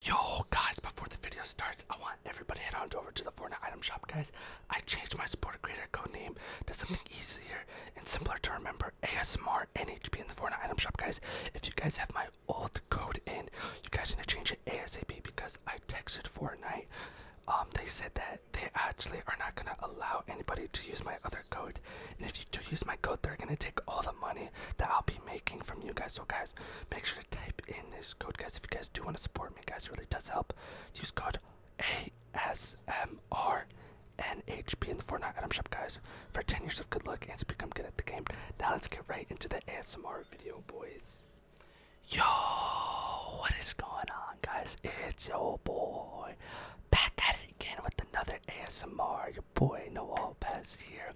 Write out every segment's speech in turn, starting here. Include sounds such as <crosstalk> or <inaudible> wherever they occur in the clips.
Yo guys, before the video starts, I want everybody head on over to the Fortnite item shop, guys. I changed my supporter creator code name to something easier and simpler to remember, ASMR NHP in the Fortnite item shop, guys. If you guys have my old code in, you guys need to change it ASAP because I texted Fortnite. Um, they said that they actually are not gonna allow anybody to use my other code, and if you do use my code, they're gonna take all the money that I'll be making from you guys. So guys. Make sure to type in this code, guys, if you guys do want to support me, guys. It really does help. Use code ASMRNHP in the Fortnite item shop, guys, for 10 years of good luck and to become good at the game. Now let's get right into the ASMR video, boys. Yo, what is going on, guys? It's your boy. Back at it again with another ASMR. Your boy Noel Pez here.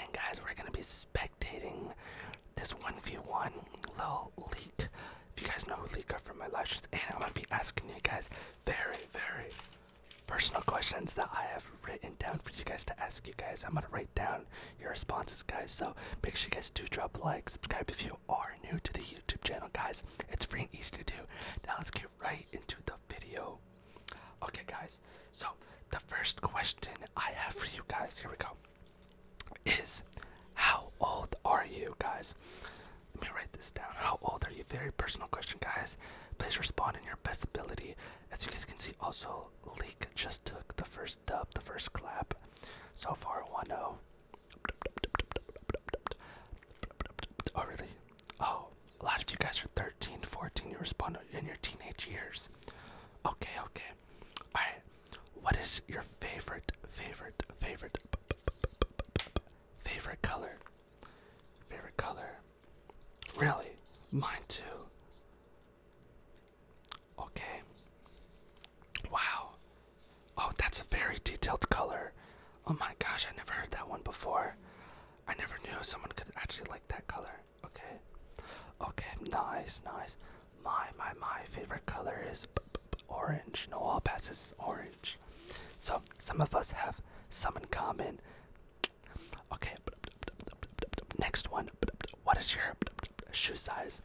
And guys, we're going to be spectating this 1v1 little leak. If you guys know who from my lashes, and I'm gonna be asking you guys very, very personal questions that I have written down for you guys to ask you guys. I'm gonna write down your responses, guys. So make sure you guys do drop a like, subscribe if you are new to the YouTube channel, guys. It's free and easy to do. Now let's get right into the video. Okay, guys, so the first question I have for you guys, here we go, is how old are you guys? Let me write this down. How old are you? Very personal question, guys. Please respond in your best ability. As you guys can see, also, Leek just took the first dub, the first clap. So far, 1 0. really? Oh, a lot of you guys are 13, 14, you respond in your teenage years. Okay, okay. Alright, what is your favorite, favorite, favorite, favorite color? Favorite color? Really? Mine too. Okay. Wow. Oh, that's a very detailed color. Oh my gosh, I never heard that one before. I never knew someone could actually like that color. Okay. Okay, nice, nice. My, my, my favorite color is orange. No, all passes is orange. So, some of us have some in common. Okay, next one. What is your shoe size?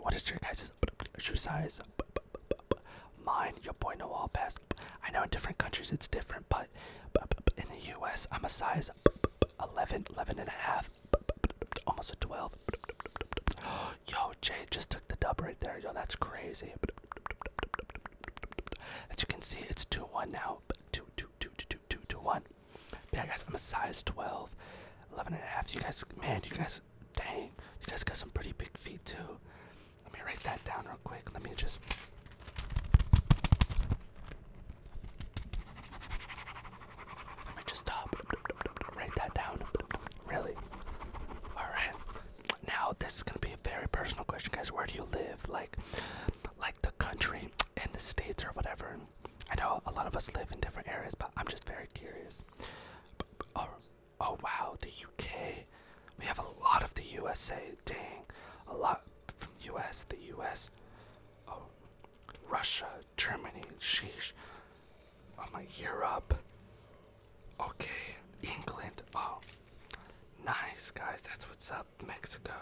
What is your guys' shoe size? Mine, your boy, no all pass. I know in different countries it's different, but in the US, I'm a size 11, 11 and a half, almost a 12. Yo, Jay just took the dub right there. Yo, that's crazy. As you can see, it's 2 1 now. 2 2 2 2 2 2 1. yeah, guys, I'm a size 12, 11 and a half. You guys, man, you guys, dang, you guys got some pretty big feet too. Let me write that down real quick. Let me just. Let me just stop. Uh, write that down. Really? Alright. Now, this is going to be a very personal question, guys. Where do you live? Like, like the country and the states or whatever. I know a lot of us live in different areas, but I'm just very curious. Oh, oh wow, Okay, We have a lot of the USA. Dang, a lot from US, the US. Oh, Russia, Germany, sheesh. Oh my, Europe. Okay, England. Oh, nice guys. That's what's up, Mexico.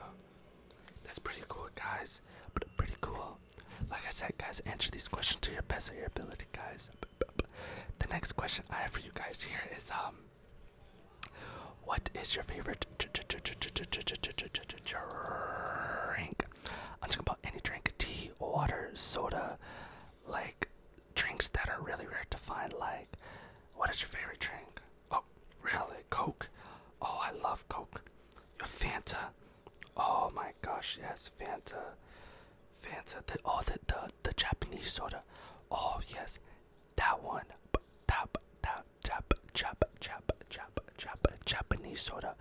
That's pretty cool, guys. But pretty cool. Like I said, guys, answer these questions to your best of your ability, guys. The next question I have for you guys here is um what is your favorite drink? I'm talking about any drink tea, water, soda, like drinks that are really rare to find. Like, what is your favorite drink? Oh, really? Coke? Oh, I love Coke. Your Fanta? Oh my gosh, yes, Fanta. Fanta. The, oh, the, the Japanese soda. Oh, yes. That one. Tap, tap, tap, chop, chop, chop, chop, Japanese soda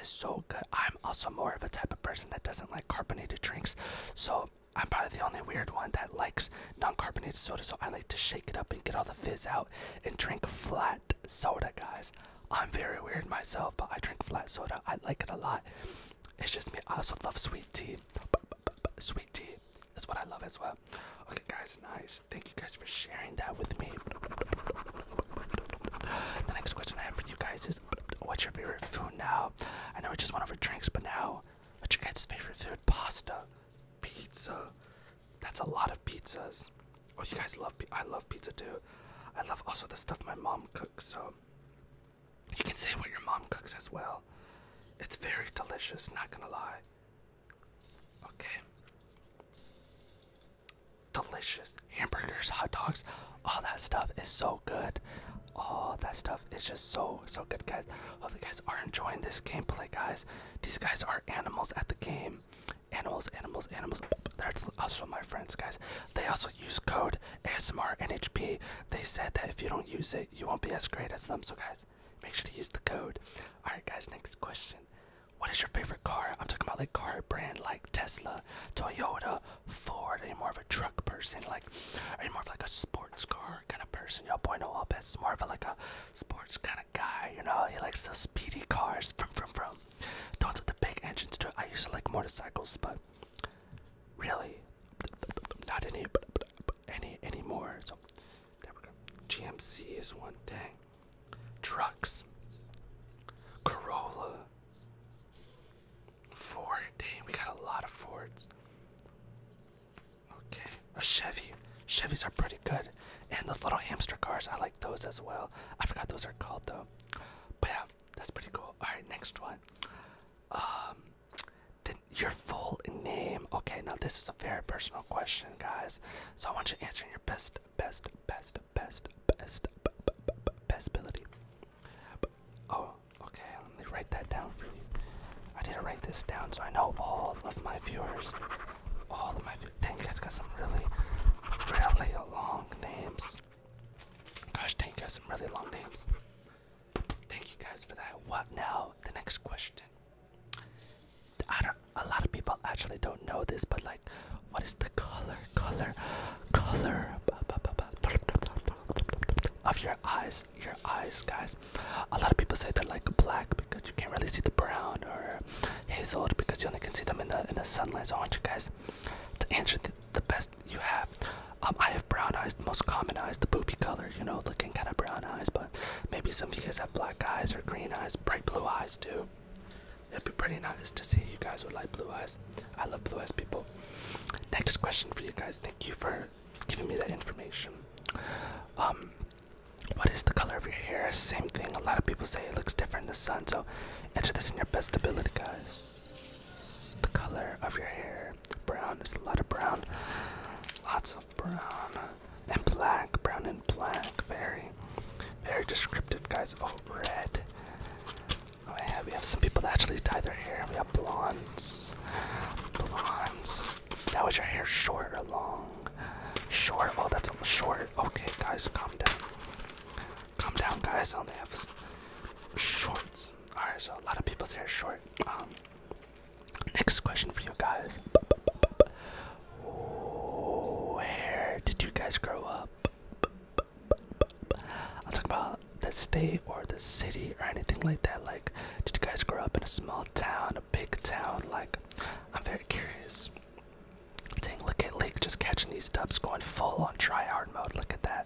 is so good. I'm also more of a type of person that doesn't like carbonated drinks. So I'm probably the only weird one that likes non-carbonated soda. So I like to shake it up and get all the fizz out and drink flat soda, guys. I'm very weird myself, but I drink flat soda. I like it a lot. It's just me. I also love sweet tea sweet tea. That's what I love as well. Okay, guys, nice. Thank you guys for sharing that with me. The next question I have for you guys is what's your favorite food now? I know we just went over drinks, but now what's your guys' favorite food? Pasta, pizza. That's a lot of pizzas. Oh, you guys love pizza. I love pizza too. I love also the stuff my mom cooks, so you can say what your mom cooks as well. It's very delicious, not gonna lie. Okay. Delicious. Hamburgers, hot dogs, all that stuff is so good. All that stuff is just so, so good, guys. Hope you guys are enjoying this gameplay, guys. These guys are animals at the game. Animals, animals, animals. They're also my friends, guys. They also use code ASMR NHP they said that if you don't use it, you won't be as great as them. So guys, make sure to use the code. All right, guys. Next question. What is your favorite car? I'm talking about like car brand like Tesla, Toyota, Ford. Are you more of a truck person? Like, are you more of like a sports car kind of person? Yo, boy, no, I'll bet more of a, like a sports kind of guy. You know, he likes the speedy cars. From from from. Those with the big engines too. I used to like motorcycles, but Really? Not any, any anymore. So there we go. GMC is one thing. Trucks. Corolla. Ford. Dang, we got a lot of Fords. Okay, a Chevy. Chevys are pretty good. And those little hamster cars, I like those as well. I forgot those are called though. But yeah, that's pretty cool. Alright, next one. Um your full name. Okay, now this is a very personal question, guys. So I want you to answer in your best, best, best, best, best, best ability. Oh, okay. Let me write that down for you. I need to write this down, so I know all of my viewers. All of my thank Dang, you guys got some really, really long names. Gosh, dang, you guys got some really long names. Thank you guys for that. What now? The next question. I don't, a lot of people actually don't know this, but like, what is the color, color, color of your eyes? Your eyes, guys. A lot of people say they're like black because you can't really see the brown or hazel because you only can see them in the in the sunlight. So I want you guys to answer th the best you have. Um, I have brown eyes, the most common eyes, the poopy color, you know, looking kind of brown eyes, but maybe some of you guys have black eyes or green eyes, bright blue eyes too. It'd be pretty nice to see you guys with light blue eyes. I love blue eyes people. Next question for you guys. Thank you for giving me that information. Um, what is the color of your hair? Same thing. A lot of people say it looks different in the sun. So answer this in your best ability, guys. The color of your hair. Brown, there's a lot of brown. Lots of brown. And black, brown and black. Very, very descriptive, guys. Oh, red. Oh, yeah, we have some people that actually dye their hair. We have blondes. Blondes. Now, is your hair short or long? Short. Oh, that's a short. Okay, guys, calm down. Calm down, guys. I only have shorts. Alright, so a lot of people's hair it's short. Um, next question for you guys. Where did you guys grow up? I'll talk about the state or the city or anything like that. Like, did you guys grow up in a small town, a big town? Like, I'm very curious. Ding! look at Lake just catching these dubs going full on try hard mode. Look at that.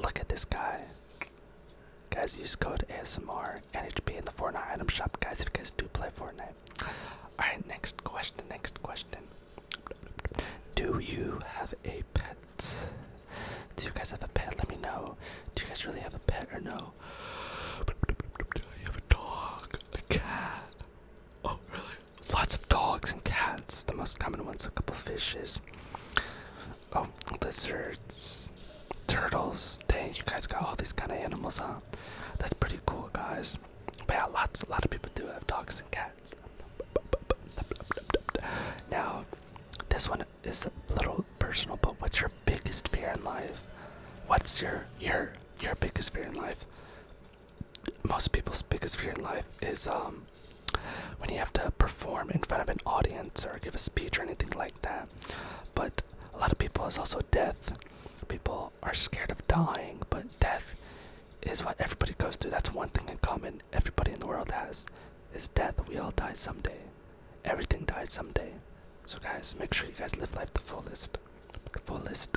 Look at this guy. Guys, use code ASMR NHP in the Fortnite item shop. Guys, if you guys do play Fortnite. Alright, next question, next question. Do you have a pet? Do you guys have a pet? Let me know. Do you guys really have a pet or no? You have a dog, a cat. Oh, really? Lots of dogs and cats. The most common ones a couple fishes, Oh, lizards, turtles. Dang, you guys got all these kind of animals, huh? That's pretty cool, guys. But yeah, lots, a lot of people do have dogs and cats. Now, this one is a little personal, but what's your biggest fear in life? What's your your your biggest fear in life? Most people's biggest fear in life is um when you have to perform in front of an audience or give a speech or anything like that. But a lot of people is also death. People are scared of dying, but death is what everybody goes through. That's one thing in common everybody in the world has is death. We all die someday. Everything dies someday. So guys, make sure you guys live life the fullest. The fullest.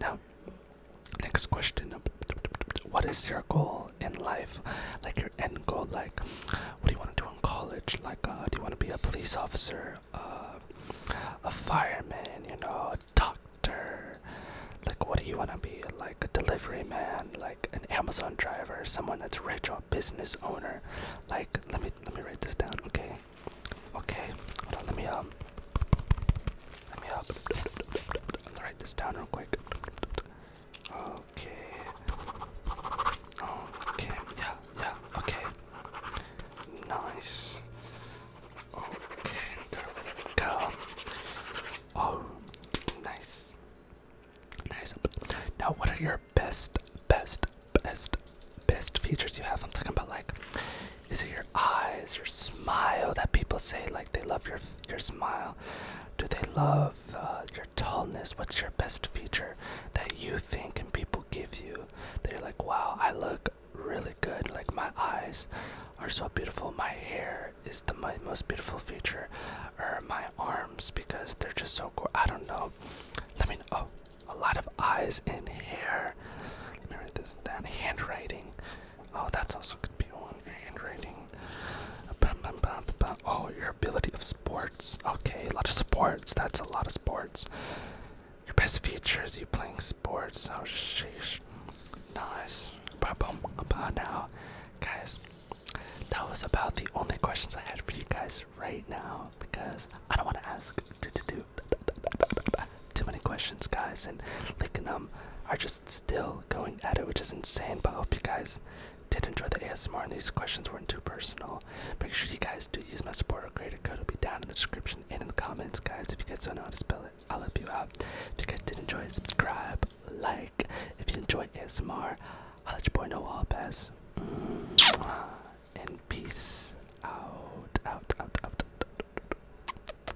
Now Next question. What is your goal in life? Like your end goal? Like, what do you want to do in college? Like, uh, do you want to be a police officer, uh, a fireman, you know, a doctor? Like, what do you want to be? Like, a delivery man, like an Amazon driver, someone that's rich or a business owner? Like, let me let me write this down, okay? Okay, hold on, let me um let me up. I'm gonna write this down real quick. Okay. Okay. Yeah. Yeah. Okay. Nice. Okay. There Oh, nice. Nice. Now, what are your best, best, best, best features you have? I'm talking about like, is it your eyes, your smile that people say like they love your your smile? Do they love uh, your tallness? What's your best feature that you think and people give you? They're like, wow, I look really good. Like, my eyes are so beautiful. My hair is the my most beautiful feature. Or my arms because they're just so cool. I don't know. Let me know. Oh, a lot of eyes and hair. Let me write this down. Handwriting. Oh, that's also could be one. Handwriting. Oh, your ability of sports. Okay, a lot of sports. That's a lot of sports. Your best features, you playing sports. Oh, sheesh. Nice. Now, guys, that was about the only questions I had for you guys right now because I don't want to ask. <laughs> too many questions, guys, and Lick them um, are just still going at it, which is insane. But I hope you guys did enjoy the ASMR and these questions weren't too personal. Make sure you guys do use my supporter creator code. It'll be down in the description and in the comments, guys. If you guys don't know how to spell it, I'll help you out. If you guys did enjoy, subscribe, like. If you enjoyed ASMR, I'll let your boy know all pass. And peace out, out, out, out. out.